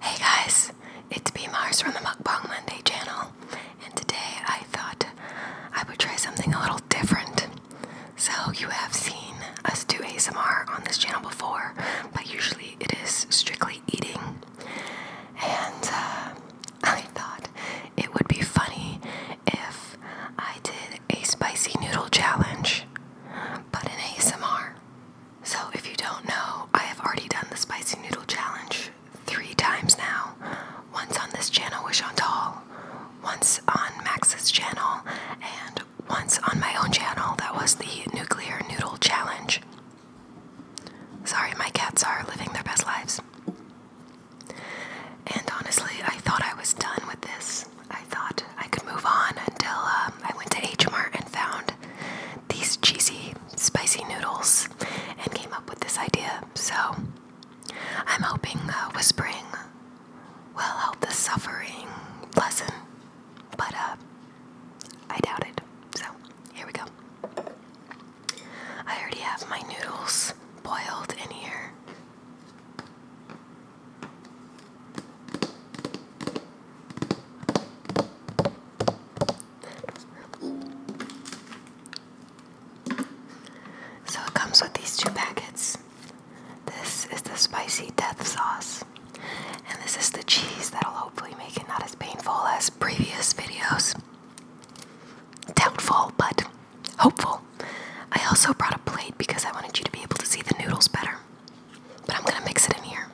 Hey guys, it's B Mars from the Mukbang Monday channel, and today I thought I would try something a little different. So, you have seen us do ASMR on this channel before, but usually it is strictly eating. And uh, I thought it would be funny if I did a spicy noodle challenge, but in ASMR. So, if you don't know, I have already done the spicy noodle challenge three times now once on this channel with Chantal, once on Max's channel, and once on my own channel that was the nuclear noodle challenge. Sorry, my cats are living their best lives. And honestly, I thought I was done with this. I thought I could move on until um, I went to H Mart and found these cheesy, spicy noodles and came up with this idea. So I'm hoping uh, whispering will help the suffering lessen, but uh, I doubt it. So here we go. I already have my noodles boiled in here. So it comes with these two packets. This is the spicy death sauce, and this is the cheese that'll hopefully make it not as painful as previous videos. Doubtful, but hopeful. I also brought a plate because I wanted you to be able to see the noodles better. But I'm gonna mix it in here.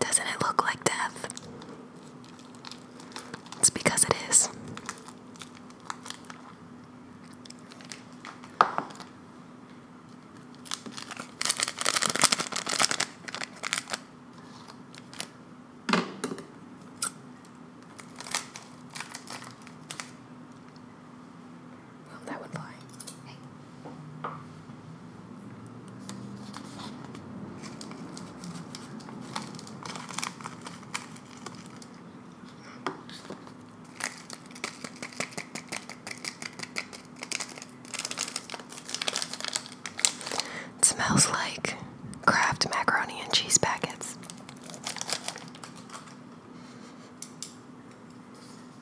Doesn't it look like death? It's because it is. Oh, that would fly. It smells like Kraft macaroni and cheese packets.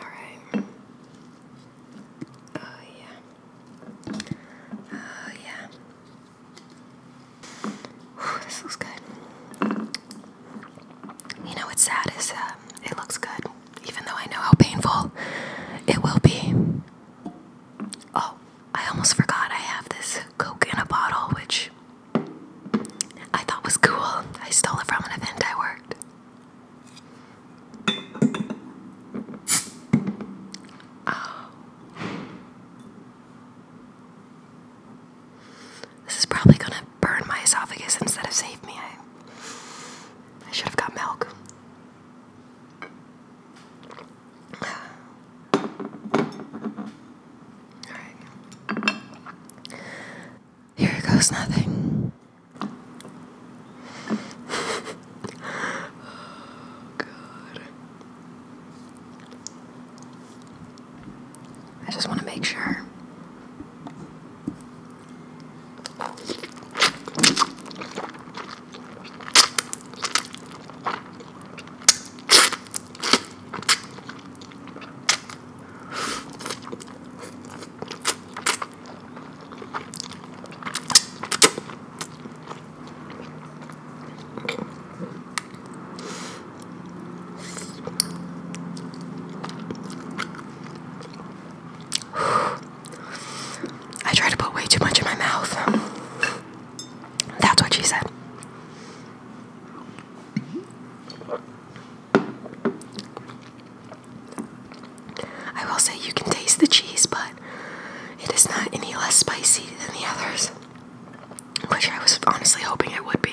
Alright. Oh, yeah. Oh, yeah. this looks good. You know what's sad is um, it looks good, even though I know how painful it will be. Oh, I almost forgot I have this Coke in a bottle, which I thought was cool. I stole it from an event I worked. Oh. This is probably gonna burn my esophagus instead of save me. I, should have got milk. Alright. Here goes nothing. oh, God. I just want to make sure. I try to put way too much in my mouth. That's what she said. I will say you can taste the cheese, but it is not any less spicy than the others, which I was honestly hoping it would be.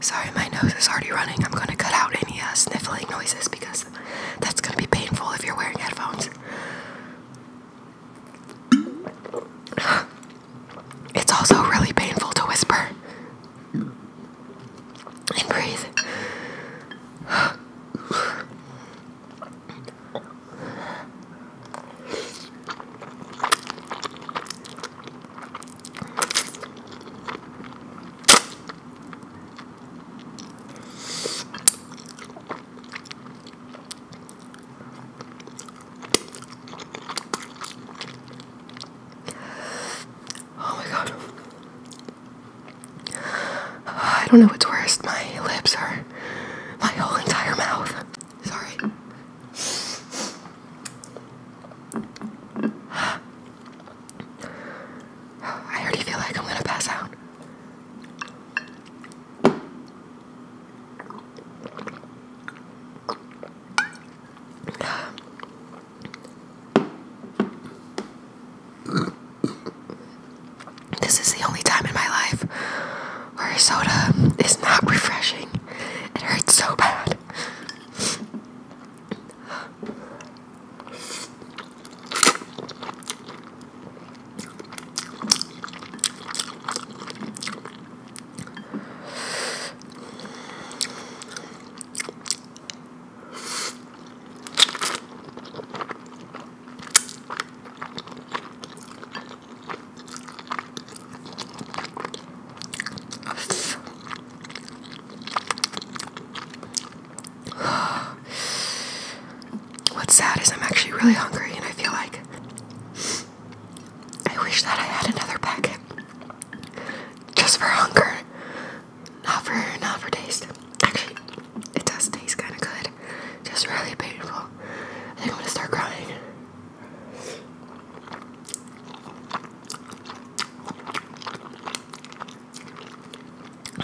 Sorry, my nose is already running. I'm gonna cut out any uh, sniffling noises because that's gonna be painful if you're wearing headphones. It's also really painful to whisper and breathe. Oh my god. I don't know what's worse, my lips or my whole entire mouth. Sorry. I already feel like I'm gonna pass out. This is the only time in my life where soda is not refreshing. It hurts so bad. What's sad is I'm actually really hungry and I feel like I wish that I had another packet just for hunger, not for not for taste. Actually, it does taste kind of good, just really painful. I think I'm gonna start crying.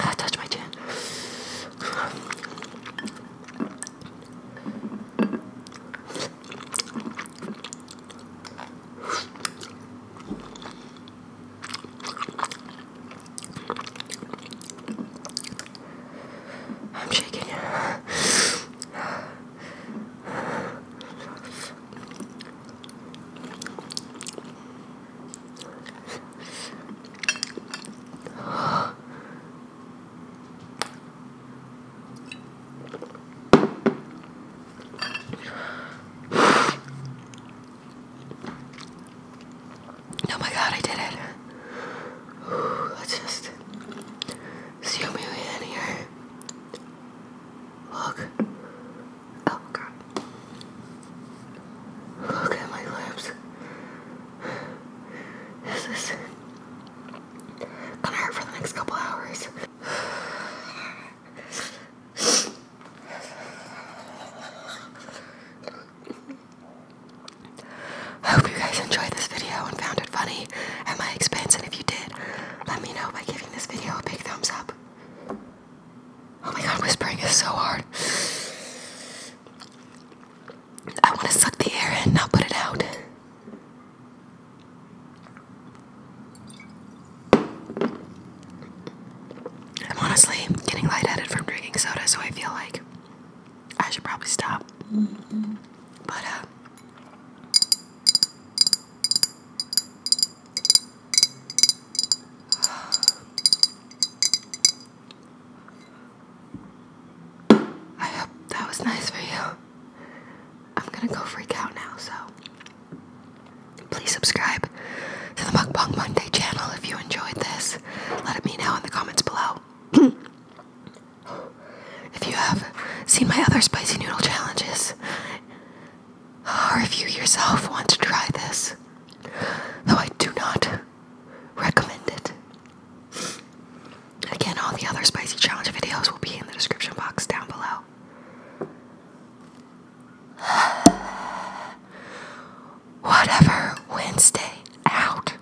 Ah, touch my chin. I'm shaking. Oh my god, I did it. I just See me in here. Look. Oh god. Look at my lips. This gonna hurt for the next couple hours. I hope you guys enjoyed this video and found it funny at my expense. And if you did, let me know by giving this video a big thumbs up. Oh my god, whispering is so hard. I want to suck the air in, not put it out. I'm honestly getting lightheaded from drinking soda, so I feel like I should probably stop. Mm-hmm. I hope that was nice for you. I'm gonna go freak out now, so please subscribe to the Mukbang Monday channel if you enjoyed this. Let me know in the comments below. If you have seen my other spicy noodle challenges, or if you yourself want to try this, though I do not recommend it. Again, all the other spicy challenge videos will be in the description box down below. Whatever Wednesday out.